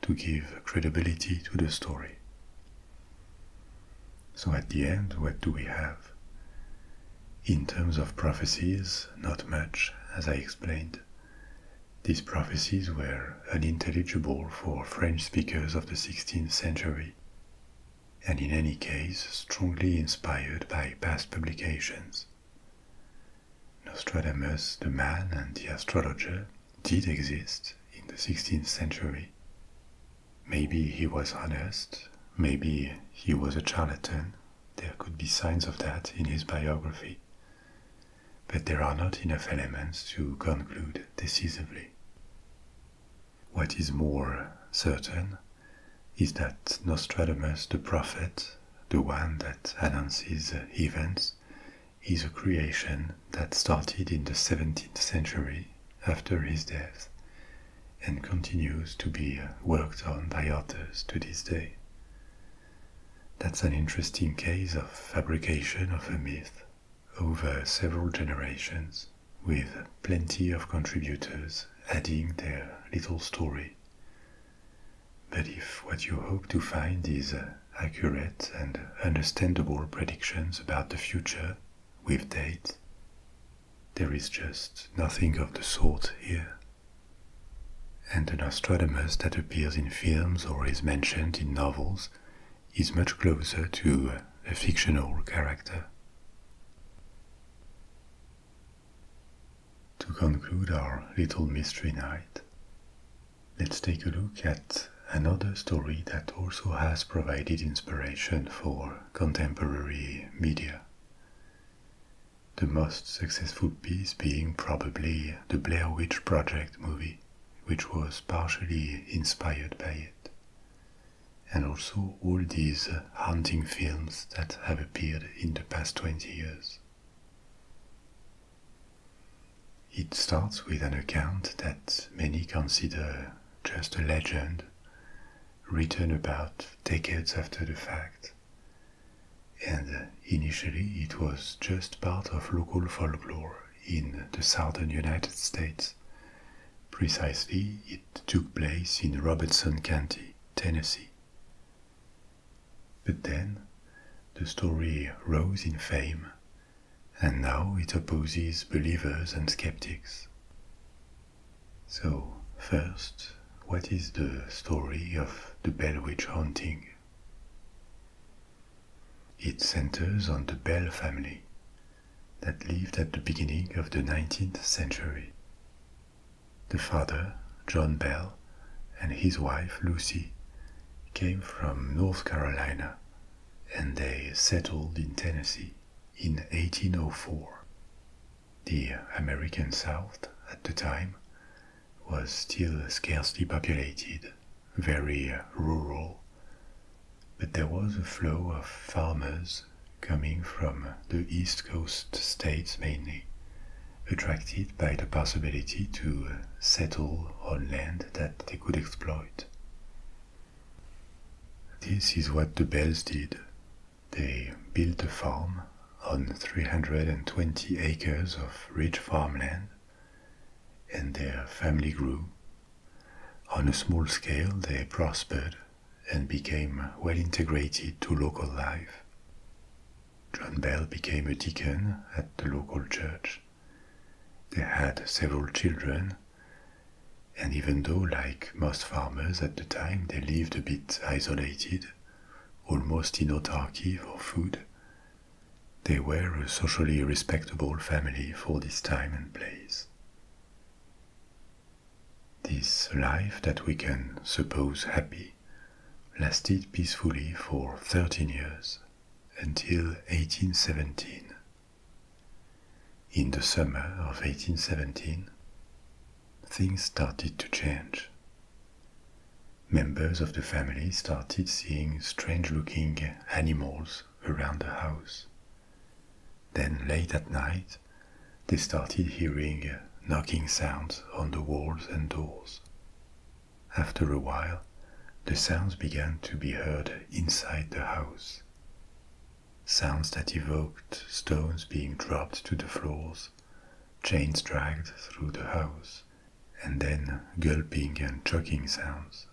to give credibility to the story. So at the end, what do we have? In terms of prophecies, not much, as I explained. These prophecies were unintelligible for French speakers of the 16th century, and in any case strongly inspired by past publications. Nostradamus, the man and the astrologer, did exist in the 16th century. Maybe he was honest, maybe he was a charlatan, there could be signs of that in his biography but there are not enough elements to conclude decisively. What is more certain is that Nostradamus the prophet, the one that announces events, is a creation that started in the 17th century after his death and continues to be worked on by authors to this day. That's an interesting case of fabrication of a myth over several generations, with plenty of contributors adding their little story. But if what you hope to find is uh, accurate and understandable predictions about the future with date, there is just nothing of the sort here. And an astronomer that appears in films or is mentioned in novels is much closer to a fictional character. To conclude our little mystery night, let's take a look at another story that also has provided inspiration for contemporary media. The most successful piece being probably the Blair Witch Project movie which was partially inspired by it. And also all these uh, hunting films that have appeared in the past 20 years. It starts with an account that many consider just a legend, written about decades after the fact. And uh, initially it was just part of local folklore in the southern United States. Precisely, it took place in Robertson County, Tennessee. But then, the story rose in fame, and now it opposes believers and skeptics. So, first, what is the story of the Bell Witch haunting? It centers on the Bell family that lived at the beginning of the 19th century. The father, John Bell, and his wife, Lucy, came from North Carolina and they settled in Tennessee in 1804. The American South at the time was still scarcely populated very uh, rural, but there was a flow of farmers coming from the East Coast states mainly, attracted by the possibility to uh, settle on land that they could exploit. This is what the Bells did. They built a farm on 320 acres of rich farmland and their family grew. On a small scale, they prospered and became well integrated to local life. John Bell became a deacon at the local church. They had several children, and even though, like most farmers at the time, they lived a bit isolated, almost in autarky for food, they were a socially respectable family for this time and place. This life that we can suppose happy lasted peacefully for 13 years until 1817. In the summer of 1817, things started to change. Members of the family started seeing strange looking animals around the house. Then late at night, they started hearing uh, knocking sounds on the walls and doors. After a while, the sounds began to be heard inside the house. Sounds that evoked stones being dropped to the floors, chains dragged through the house, and then gulping and choking sounds.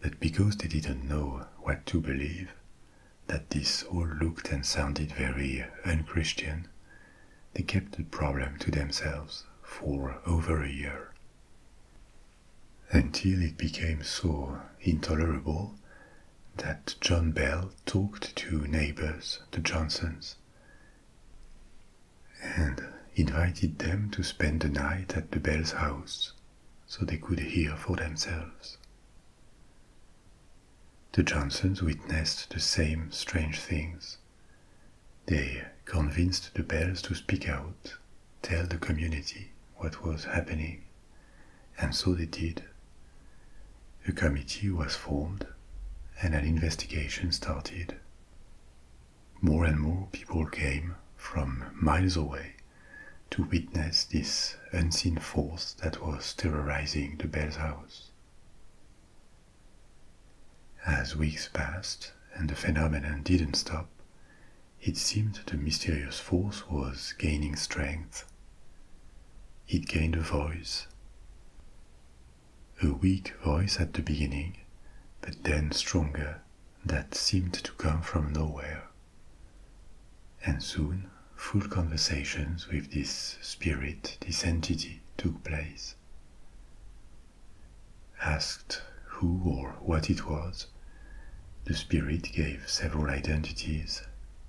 But because they didn't know what to believe, that this all looked and sounded very unchristian, they kept the problem to themselves for over a year. Until it became so intolerable that John Bell talked to neighbors, the Johnsons, and invited them to spend the night at the Bells' house so they could hear for themselves. The Johnsons witnessed the same strange things. They convinced the bells to speak out, tell the community what was happening, and so they did. A committee was formed and an investigation started. More and more people came from miles away to witness this unseen force that was terrorizing the Bell's house. As weeks passed and the phenomenon didn't stop, it seemed the mysterious force was gaining strength. It gained a voice. A weak voice at the beginning, but then stronger that seemed to come from nowhere. And soon, full conversations with this spirit, this entity, took place. Asked who or what it was, the spirit gave several identities,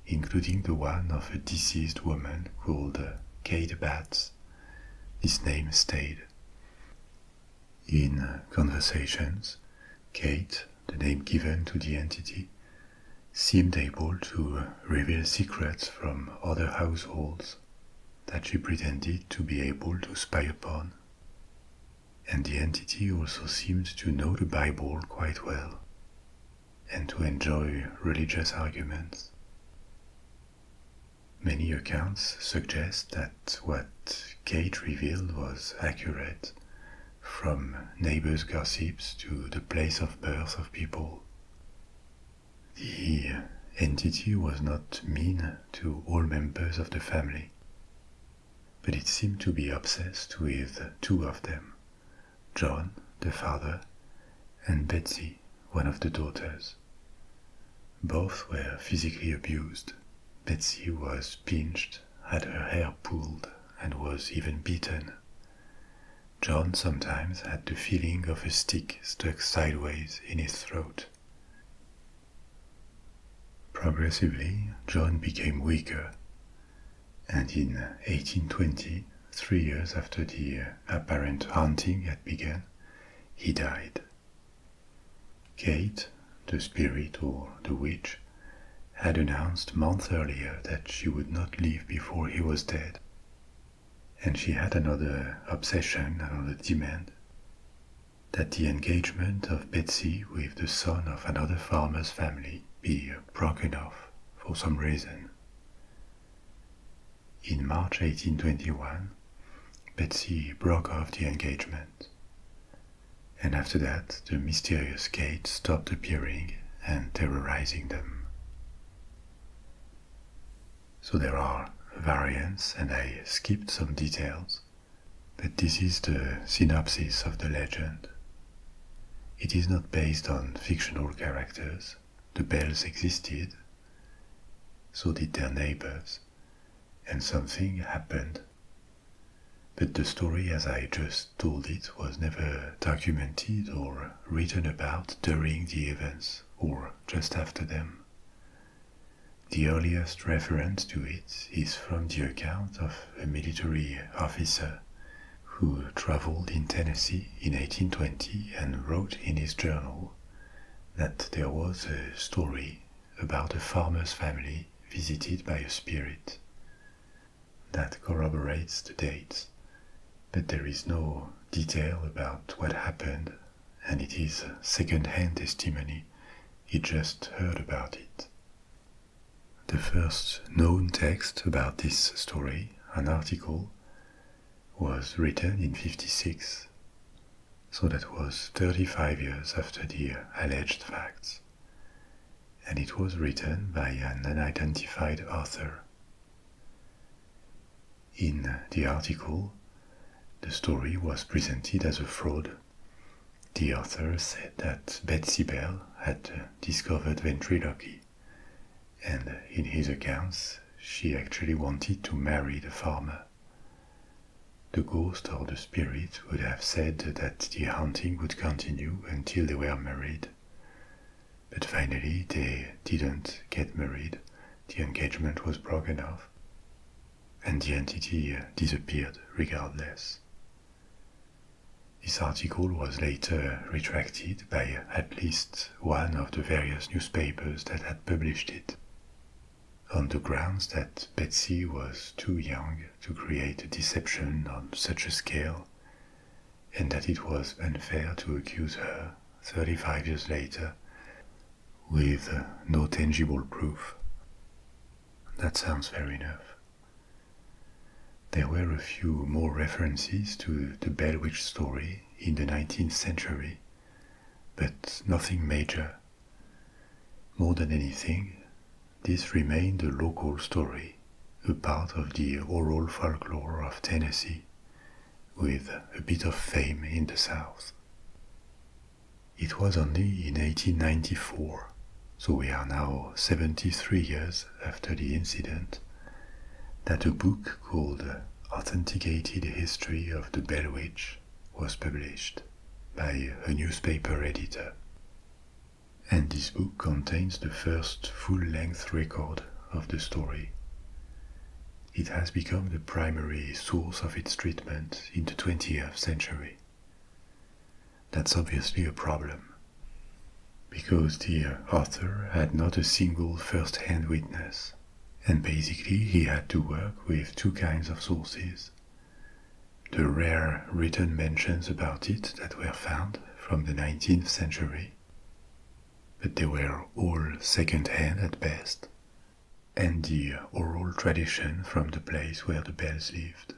including the one of a deceased woman called Kate Batts. This name stayed. In uh, conversations, Kate, the name given to the entity, seemed able to uh, reveal secrets from other households that she pretended to be able to spy upon. And the entity also seemed to know the Bible quite well and to enjoy religious arguments. Many accounts suggest that what Kate revealed was accurate, from neighbors' gossips to the place of birth of people. The entity was not mean to all members of the family, but it seemed to be obsessed with two of them John, the father, and Betsy, one of the daughters. Both were physically abused. Betsy was pinched, had her hair pulled, and was even beaten. John sometimes had the feeling of a stick stuck sideways in his throat. Progressively, John became weaker, and in 1820, three years after the apparent haunting had begun, he died. Kate, the spirit or the witch, had announced months earlier that she would not leave before he was dead. And she had another obsession, another demand that the engagement of Betsy with the son of another farmer's family be broken off for some reason. In March 1821, Betsy broke off the engagement. And after that, the mysterious gate stopped appearing and terrorizing them. So there are variants, and I skipped some details, but this is the synopsis of the legend. It is not based on fictional characters, the bells existed, so did their neighbors, and something happened. But the story as I just told it was never documented or written about during the events or just after them. The earliest reference to it is from the account of a military officer who traveled in Tennessee in 1820 and wrote in his journal that there was a story about a farmer's family visited by a spirit. That corroborates the date, but there is no detail about what happened, and it is second hand testimony. He just heard about it. The first known text about this story, an article, was written in 56 so that was 35 years after the alleged facts. And it was written by an unidentified author. In the article, the story was presented as a fraud. The author said that Betsy Bell had discovered ventriloquy, and in his accounts, she actually wanted to marry the farmer. The ghost or the spirit would have said that the hunting would continue until they were married. But finally, they didn't get married, the engagement was broken off, and the entity disappeared regardless. This article was later retracted by at least one of the various newspapers that had published it on the grounds that Betsy was too young to create a deception on such a scale, and that it was unfair to accuse her 35 years later with no tangible proof. That sounds fair enough. There were a few more references to the Belwitch story in the 19th century, but nothing major more than anything, this remained a local story, a part of the oral folklore of Tennessee, with a bit of fame in the South. It was only in 1894, so we are now 73 years after the incident, that a book called Authenticated History of the Bell Witch was published by a newspaper editor. And this book contains the first full-length record of the story. It has become the primary source of its treatment in the 20th century. That's obviously a problem, because the author had not a single first-hand witness, and basically he had to work with two kinds of sources the rare written mentions about it that were found from the 19th century, but they were all second-hand at best, and the oral tradition from the place where the Bells lived.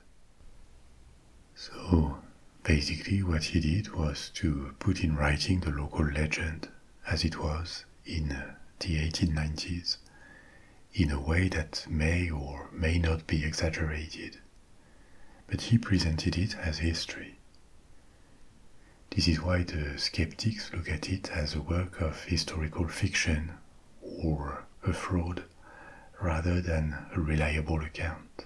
So, basically, what he did was to put in writing the local legend as it was in the 1890s in a way that may or may not be exaggerated, but he presented it as history. This is why the skeptics look at it as a work of historical fiction or a fraud rather than a reliable account.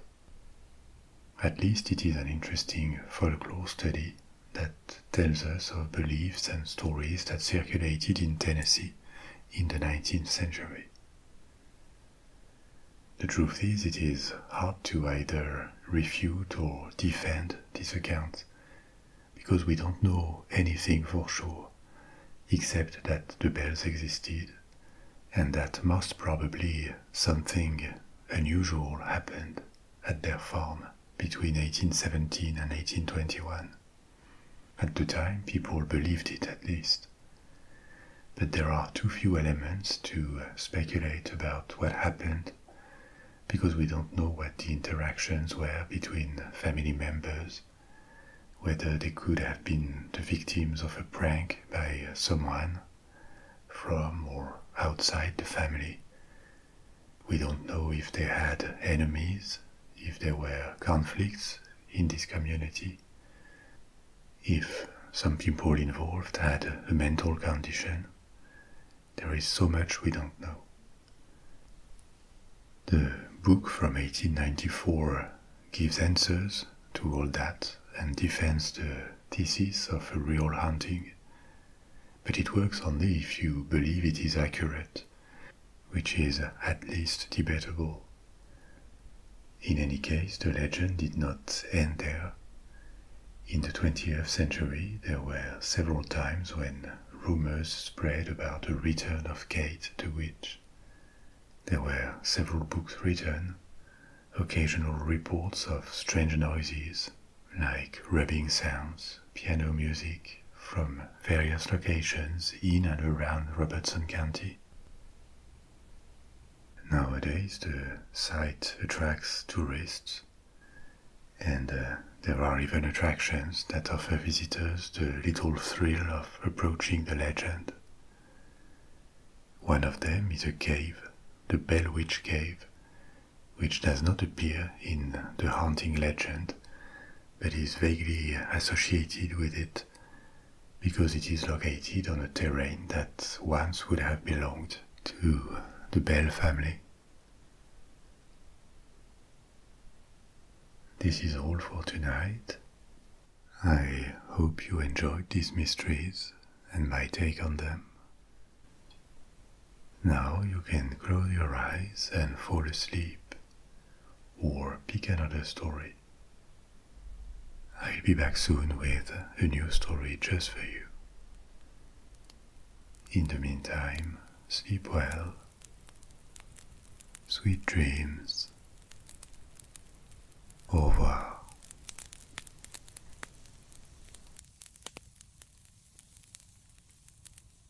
At least it is an interesting folklore study that tells us of beliefs and stories that circulated in Tennessee in the 19th century. The truth is, it is hard to either refute or defend this account because we don't know anything for sure except that the bells existed and that most probably something unusual happened at their farm between 1817 and 1821. At the time, people believed it at least. But there are too few elements to uh, speculate about what happened because we don't know what the interactions were between family members, whether they could have been the victims of a prank by uh, someone from or outside the family. We don't know if they had enemies, if there were conflicts in this community. If some people involved had a mental condition, there is so much we don't know. The book from 1894 gives answers to all that and defends the thesis of a real haunting, but it works only if you believe it is accurate which is at least debatable. In any case, the legend did not end there. In the 20th century, there were several times when rumors spread about the return of Kate the Witch. There were several books written, occasional reports of strange noises, like rubbing sounds, piano music from various locations in and around Robertson County. Nowadays, the site attracts tourists, and uh, there are even attractions that offer visitors the little thrill of approaching the legend. One of them is a cave, the Bell Witch Cave, which does not appear in the haunting legend but is vaguely associated with it because it is located on a terrain that once would have belonged to the Bell family. This is all for tonight. I hope you enjoyed these mysteries and my take on them. Now you can close your eyes and fall asleep or pick another story. I'll be back soon with a new story just for you. In the meantime, sleep well. Sweet dreams. Au